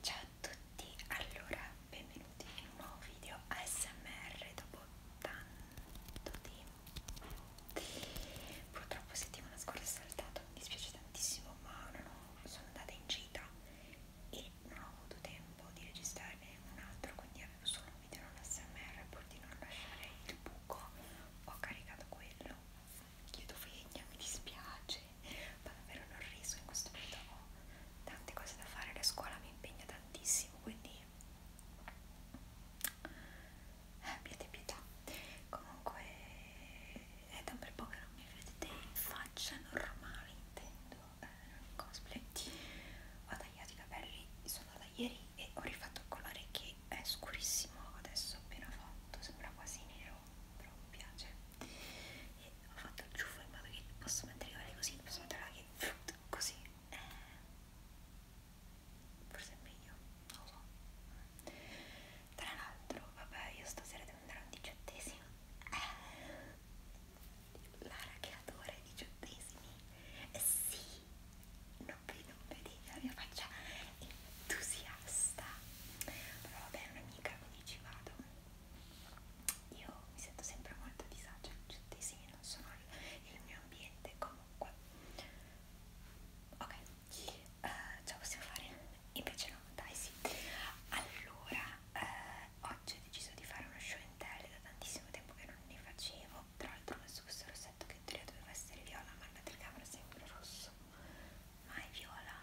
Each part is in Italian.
Ciao a tutti, allora benvenuti in un nuovo video ASMR dopo tanto tempo Purtroppo settimana scorsa ho saltato, mi dispiace tantissimo ma non ho, sono andata in gita e non ho avuto tempo di registrarne un altro Quindi avevo solo un video non ASMR pur di non lasciare il buco, ho caricato quello chiedo vegna, mi dispiace, ma davvero non riso in questo momento, ho tante cose da fare, la scuola mi impegna tantissimo, quindi eh, abbiate pietà. Comunque è da un bel po' che non mi vedete in faccia normale, intendo, eh, cosplay. Ho tagliato i capelli, sono da ieri e ho rifatto il colore che è scurissimo adesso appena fatto, sembra quasi nero, però mi piace e ho fatto il ciuffo in modo che posso mettere i capelli così, posso mettere anche così eh, forse è meglio, non lo so tra l'altro, vabbè io stasera devo andare a un diciottesimo eh, Lara che adora i diciottesimi eh, sì non vedo, vedete la mia faccia entusiasta però vabbè un'amica mi ci vado io mi sento sempre molto a disagio in centesimi, non sono il, il mio ambiente comunque ok uh, ce la possiamo fare? invece no, dai sì allora uh, oggi ho deciso di fare uno show in tele da tantissimo tempo che non ne facevo tra l'altro ho messo questo rossetto che in teoria doveva essere viola ma la telecamera è sempre rosso ma è viola,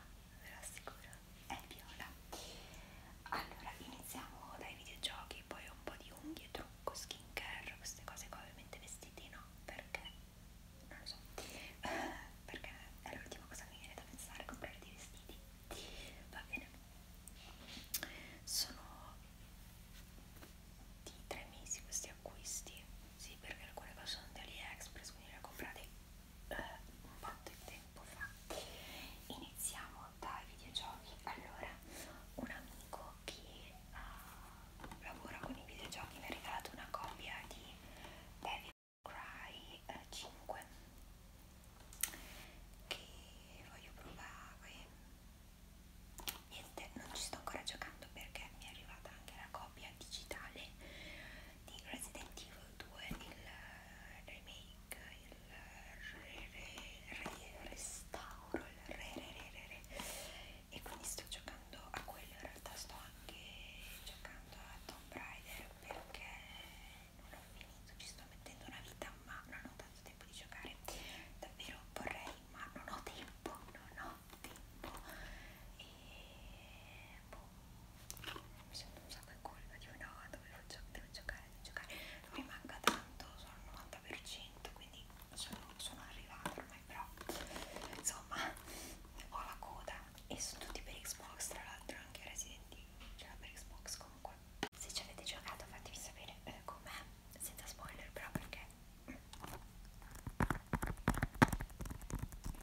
ve lo assicuro, è viola. Allora, iniziamo dai videogiochi, poi un po' di unghie, trucco, skincare, queste cose qua, ovviamente vestiti no, perché non lo so, perché è l'ultima cosa che mi viene da pensare, comprare dei vestiti. Va bene, sono di tre mesi questi acquisti, sì, perché alcune cose sono di AliExpress, quindi le ho comprate eh, un po' di tempo fa iniziamo dai videogiochi allora un amico che uh, lavora con i videogiochi mi ha regalato una copia di David Cry eh, 5 che voglio provare niente non ci sto ancora giocando perché mi è arrivata anche la copia digitale di Resident Evil 2 il eh, remake, il eh, re, re, re, restauro, il re, re, re, re, re e quindi sto giocando a quello, in realtà sto anche giocando a Tomb Raider perché non ho finito, ci sto mettendo una vita ma non ho tanto tempo di giocare, davvero vorrei ma non ho tempo, non ho tempo e boh, mi sento un sacco in colpa dico no dovevo gio devo giocare devo giocare non mi manca tanto sono al 90% quindi sono, sono arrivata ormai però insomma ho la coda e sono tutti per Xbox tra l'altro anche Resident Evil c'era per Xbox comunque se ci avete giocato fatemi sapere eh, com'è senza spoiler però perché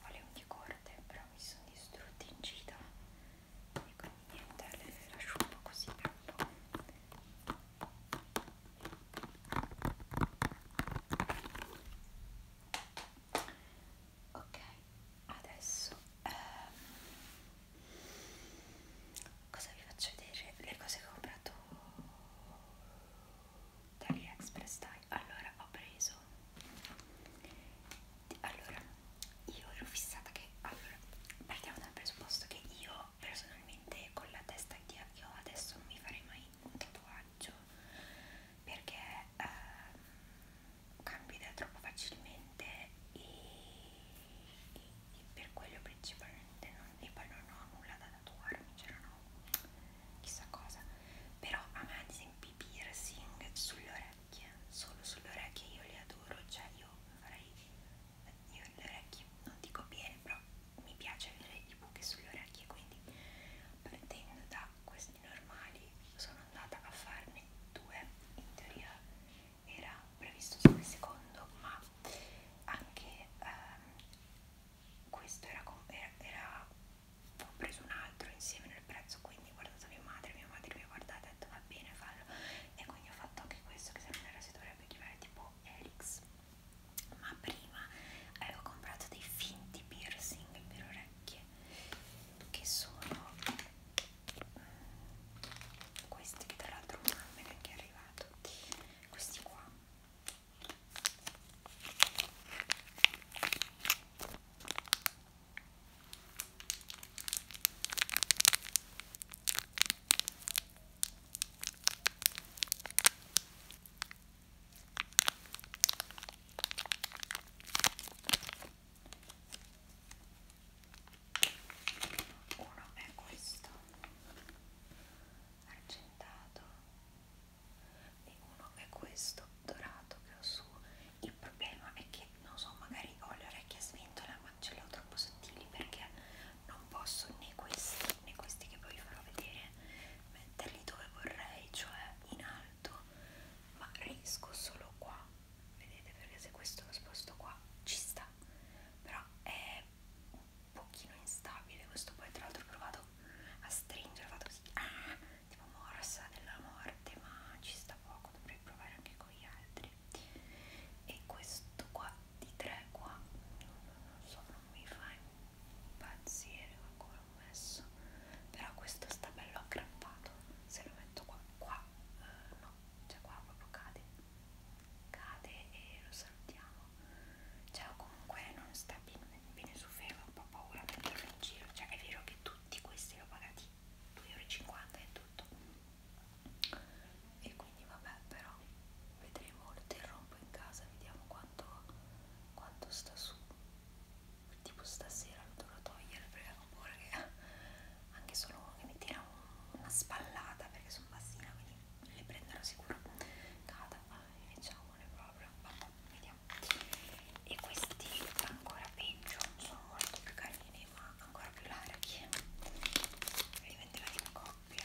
Volevo di corde, però mi sono distrutti in gita e ecco, quindi niente, le lascio un po' così per un po'. Ok, adesso ehm, cosa vi faccio vedere? Le cose che ho comprato da AliExpress dai. Allora ho preso allora io ero fissata che allora partiamo dal presupposto che io personalmente con la testa che ho adesso non mi farei mai un tatuaggio perché ehm, cambi idea troppo facilmente e, e, e per quello principalmente non, e poi non ho nulla da tatuarmi, c'erano cioè chissà cosa però a me ad esempio i piercing sulle orecchie solo sulle orecchie io le adoro cioè io farei io le orecchie non dico bene però mi piace avere i buchi sulle orecchie quindi partendo da questi normali sono andata a farne due in teoria era previsto solo il secondo ma anche ehm, questo era, era, era ho preso un altro insieme nel prezzo quindi ho guardato mia madre mia madre mi ha guardato e ha detto va bene fallo e quindi ho fatto anche questo che se non era si dovrebbe chiamare tipo Helix ma prima avevo comprato dei finti piercing per orecchie che sono questi che tra l'altro non me ne è arrivato questi qua uno è questo argentato e uno è questo dorato che ho su il problema è che non so magari ho le orecchie a sventola ma ce le ho troppo sottili perché non posso né questi né questi che poi vi farò vedere metterli dove vorrei cioè in alto ma riesco solo qua vedete perché se questo lo sposto qua ci sta però è un pochino instabile questo poi tra l'altro ho provato a stringere ho fatto così ah, tipo morsa della morte ma ci sta poco dovrei provare anche con gli altri e questo qua di tre qua non so non mi fa impazzire come l'ho messo però questo sta bello aggrappato se lo metto qua qua eh, no cioè qua proprio cade cade e lo salutiamo cioè o comunque non sta bene su ferro ho paura a metterlo in giro cioè è vero che tutti questi li ho pagati 2,50 euro e tutto e quindi vabbè però vedremo lo terrò un po' in casa vediamo quanto quanto sta su tipo stasera lo dovrò togliere perché ho paura che anche solo uno che mi tira un, una spallata perché sono bassina quindi le prenderò sicuro cada e facciamone proprio vabbè vediamo e questi ancora peggio sono molto più carini ma ancora più larghi li venderò in coppia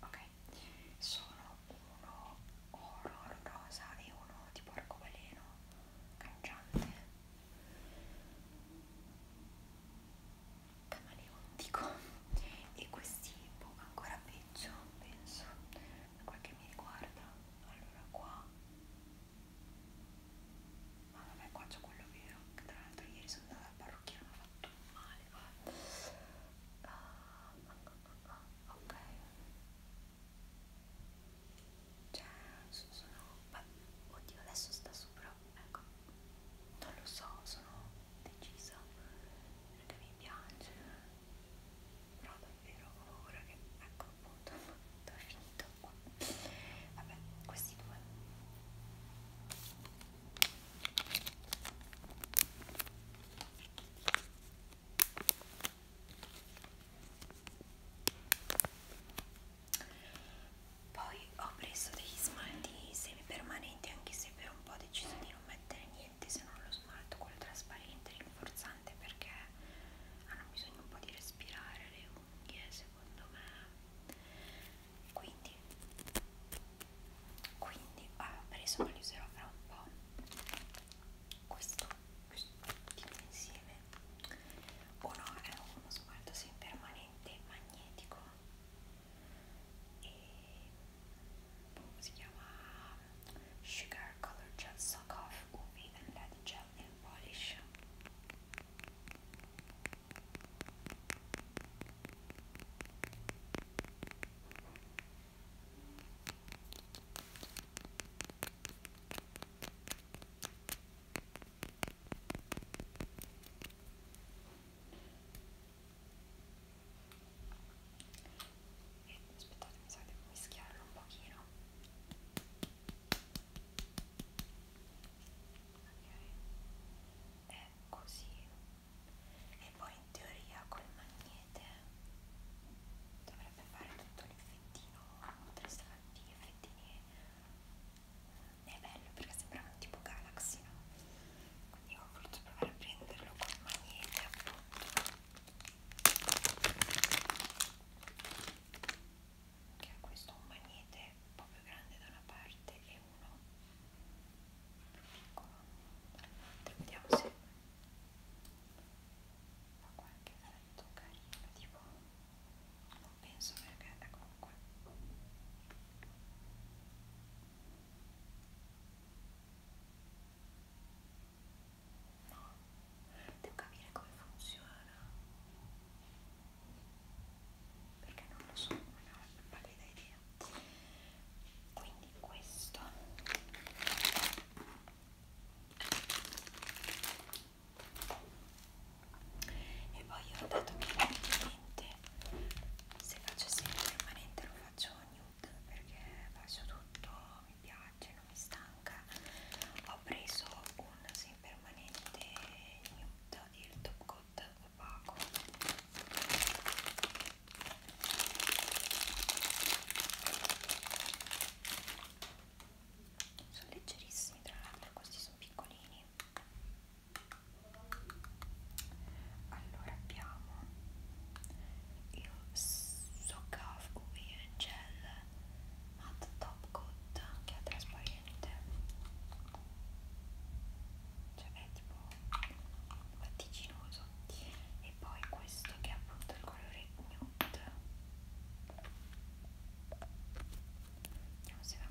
ok sono uno oro rosa e uno tipo arcobaleno cangiante camaleontico e questi boh, ancora peggio penso per quel che mi riguarda allora qua ma vabbè qua c'è quello vero che tra l'altro ieri sono andata al parrucchiere mi ha fatto male male qua uh, ok cioè sono beh, oddio adesso sta su però ecco non lo so sono decisa perché mi piace però davvero ho ora che ecco appunto ho finito qua vabbè questi due poi ho preso degli smalti semipermanenti anche se per un po' ho deciso di non mettere niente se non lo smalto, quello trasparente, rinforzante perché hanno bisogno un po' di respirare le unghie secondo me quindi vestiti quindi ho ah, preso ma li userò fra un po' questo, questo insieme uno è uno smalto permanente magnetico e boh, si chiama Sugar Color Gel Sock Off UV and Lead Gel Nail Polish aspettate mi sa che devo mischiarlo un pochino ok e così e poi in teoria col magnete dovrebbe fare tutto l'effettino contrastanti gli effettini è bello perché sembrava tipo Galaxy no? quindi ho voluto provare a prenderlo col magnete appunto che è questo un magnete un po' più grande da una parte e uno più piccolo vediamo se fa qualche effetto carino tipo non penso perché è comunque no devo capire come funziona perché non lo so non ho una pallida idea quindi questo e poi ho dato che ovviamente se faccio sempre permanente lo faccio nude perché faccio tutto mi piace non mi stanca ho preso un semi permanente nude il top coat opaco sono leggerissimi tra l'altro questi sono piccolini allora abbiamo il Socaf UV Gel Matte Top Coat che è trasparente cioè è tipo latticinoso e poi questo che è appunto il colore nude vediamo se va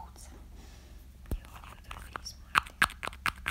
puzza io voglio trovare gli smalti eh.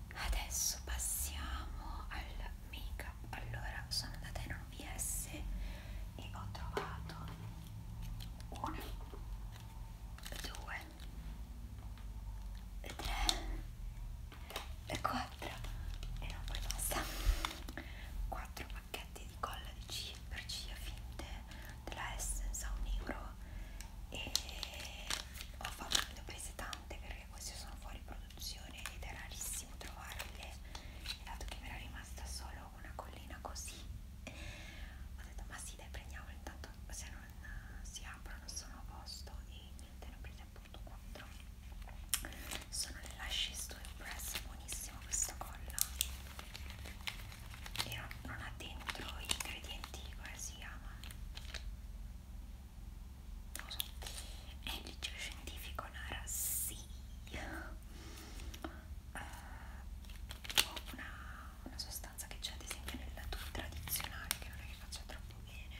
adesso passiamo al make up allora sono andata in un BS e ho trovato una due tre quattro e non poi basta quattro pacchetti di colla di ciglia per ciglia finte della Essence a un euro e ho fatto, dopo prese tante perché queste sono fuori produzione ed è rarissimo trovarle e dato che mi era rimasta solo una collina così ho detto ma sì dai prendiamole intanto se non si aprono sono a posto e niente ne ho prese appunto 4 sono le lashes to impress buonissimo questo collo e non, non ha dentro gli ingredienti come si chiama non lo so è il liceo scientifico Nara sì uh, una, una sostanza che c'è ad esempio nel lato tradizionale che non è che faccia troppo bene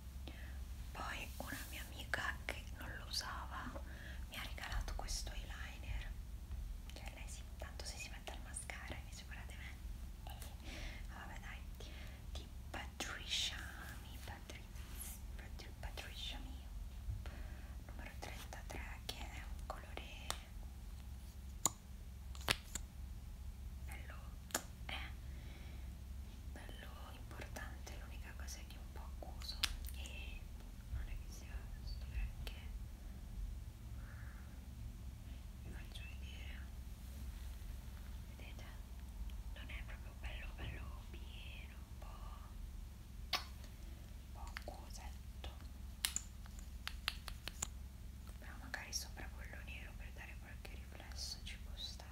poi una mia amica che non lo usava mi ha regalato questo eyeliner cioè lei sì, tanto se si mette al mascara invece guardate me eh, vabbè dai di Patricia Mi Patriz, Patri, Patricia Mi numero 33 che è un colore bello eh bello importante, l'unica cosa è che è un po' accuso e non è che sia sto granché vi faccio vedere vedete non è proprio bello bello pieno un po' un po' accusetto però magari sopra quello nero per dare qualche riflesso ci può stare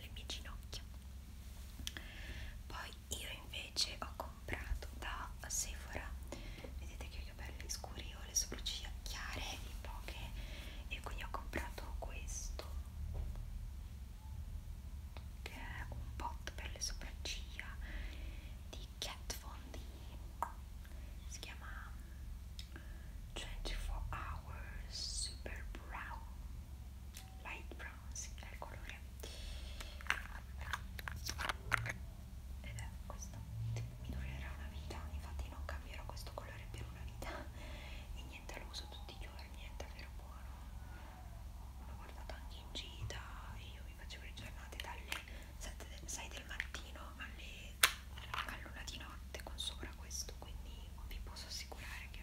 le mie ginocchia poi io invece ho comprato da Sephora vedete che ho i capelli scuri ho le sopracciglia chiare e poche e quindi ho comprato questo che è un pot per le sopracciglia di Kat Von D si chiama 24 Hours Super Brown light bronze è il colore ed è questo mi durerà una vita infatti non cambierò questo colore per una vita e niente lo uso tutti i giorni niente è vero buono l'ho guardato anche in gita io mi facevo le giornate dalle 7, 6 del mattino alle all'una di notte con sopra questo quindi vi posso assicurare che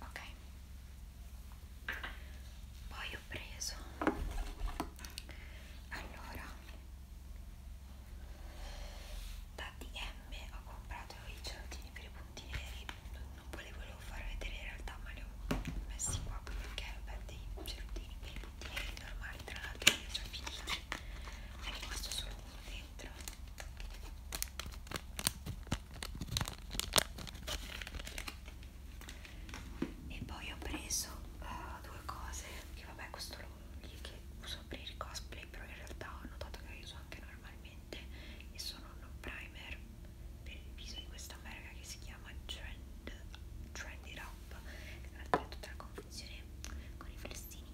ok poi ho preso allora da DM ho comprato i gelatini per i punti neri non volevo far vedere in realtà ma li ho messi qua perché vabbè dei gelatini per i punti neri normali tra l'altro li ho già finiti è rimasto solo uno dentro e poi ho preso uh, due cose che vabbè questo lo che uso per il cosplay però in realtà ho notato che lo uso anche normalmente e sono un primer per il viso di questa merca che si chiama Trend, Trend It Up in realtà è tutta la confusione con i flessini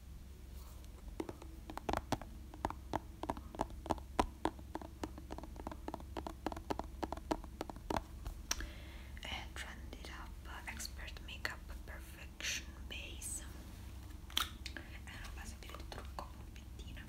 and trend up uh, expert makeup perfection base è una base per il trucco polpettina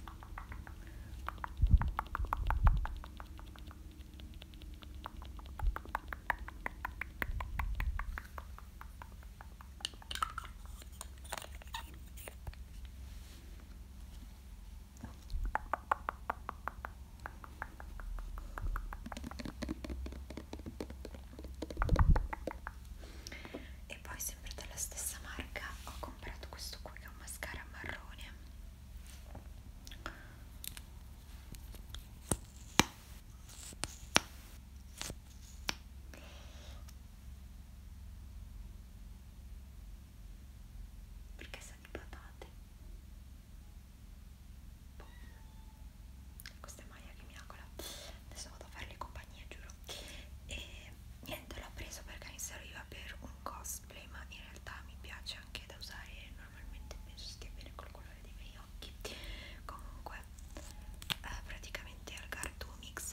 E poi sempre dalla stessa marca ho comprato questo qui che è un mascara marrone perché sa di patate? Boh. Questa è Maya che mi agola. Adesso vado a farle compagnia, giuro. E niente, l'ho preso perché mi serviva per un cosplay, ma in realtà mi piace anche da usare normalmente, penso stia bene col colore dei miei occhi. Comunque, eh, praticamente è al Cartoon Mix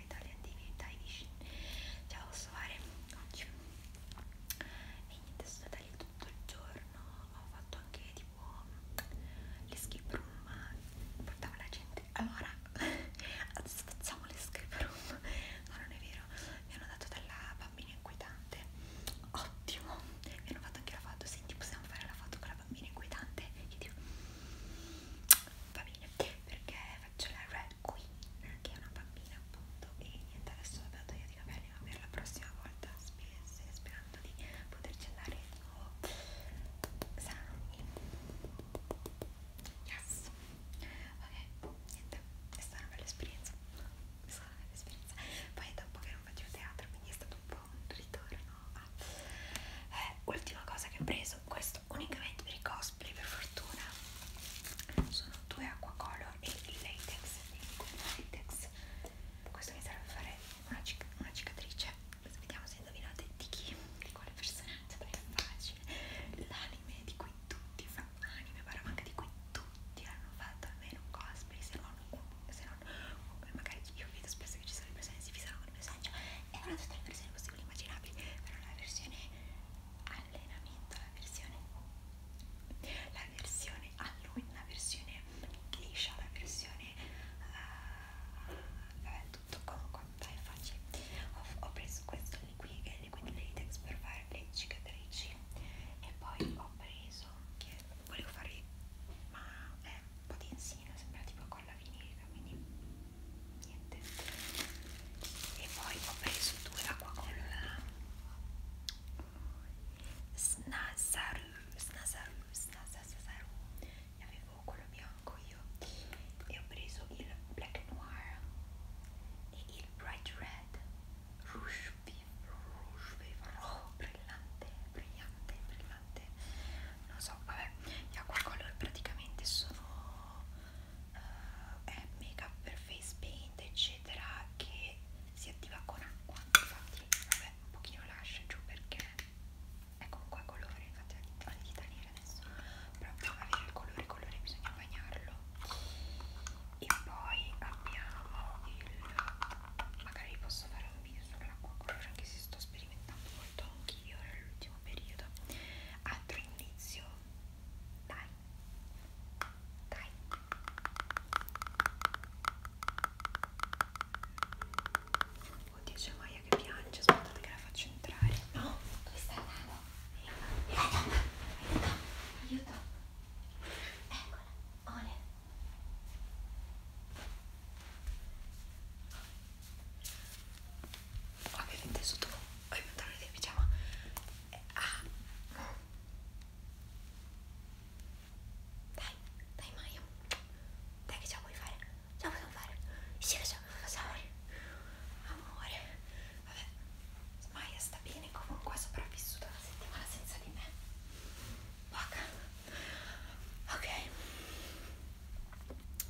Italian Division cioè posso fare oggi e niente sono stata lì tutto il giorno ho fatto anche tipo le skip room portavo la gente allora adesso facciamo le skip room no non è vero mi hanno dato dalla bambina inquietante ottimo mi hanno fatto anche la foto senti possiamo fare la foto con la bambina inquietante io dico va bene perché faccio la rap Queen che è una bambina appunto e niente adesso ho dato io di capelli ma per la prossima volta spese, sperando di poterci andare di nuovo sani yes ok niente è stata una bella esperienza è stata una bella esperienza poi dopo che non facevo teatro quindi è stato un po' un ritorno a eh, ultima cosa che ho preso questo unicamente per i cosplay per fortuna sono due acquacolor e il latex il latex questo mi serve a fare una, cic una cicatrice vediamo se indovinate di chi di quale personaggio perché è facile l'anime di cui tutti fanno anime però anche di cui tutti hanno fatto almeno un cosplay se non se non eh, magari io vedo spesso che ci sono le persone che si fissano con il personaggio e hanno tutte le versioni possibili immaginabili però la versione allenamento, la versione la versione Halloween, la versione liscia, la versione uh, vabbè, tutto comunque dai facile ho, ho preso questo liquid, liquid latex per fare le cicatrici e poi ho preso che volevo fare ma è un po' di insino sembra tipo colla vinilica quindi niente e poi ho preso due acqua con la snasaru snasaru snasaru ne avevo quello bianco io e ho preso il black noir e il bright red rouge vivo rouge vivo oh, brillante brillante brillante non so vabbè gli acqua color praticamente sono eh, make up per face paint eccetera che si attiva con acqua infatti vabbè un pochino lascia giù perché è comunque colore infatti ho le dita nere adesso però per avere il colore colore bisogna bagnarlo e poi abbiamo il magari vi posso fare un video sull'acqua colore anche se sto sperimentando molto anch'io nell'ultimo periodo altro indizio dai dai oddio c'è Maya che piange aspettate che la faccio entrare no dove stai andando? aiuto aiuto aiuto eccola Ole ovviamente sotto i pantaloni del pigiama ah. dai dai Mario dai che ce la puoi fare ce la possiamo fare sì che ce la possiamo fare amore vabbè Maya sta bene comunque è sopravvissuta una settimana senza di me Poca. ok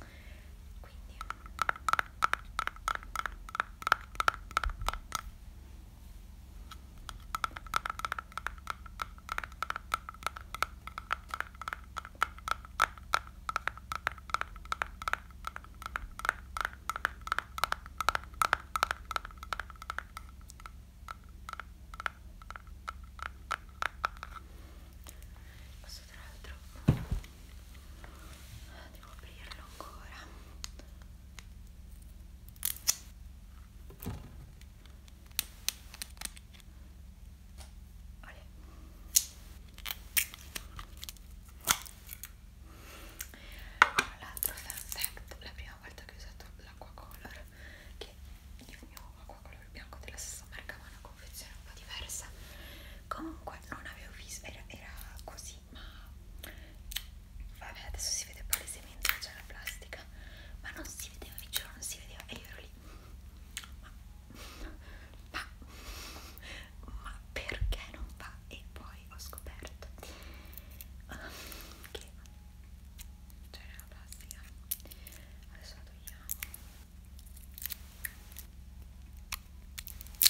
quindi questo tra l'altro devo aprirlo ancora Olè. tra l'altro fan fact la prima volta che ho usato l'acqua color che il mio acqua color bianco della stessa marca ma una confezione un po' diversa comunque comunque non avevo visto era, era così ma vabbè adesso si vede palesemente che c'è la plastica ma non si vedeva vi giuro non si vedeva e io ero lì ma, ma, ma perché non va e poi ho scoperto che c'era la plastica adesso la togliamo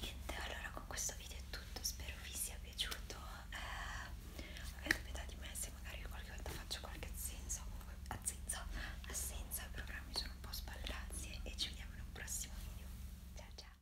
niente allora con questo video è tutto spero vi sia piaciuto eh, avete pietà di me se magari io qualche volta faccio qualche assenza comunque assenza assenza i programmi sono un po' sballati e ci vediamo in un prossimo video ciao ciao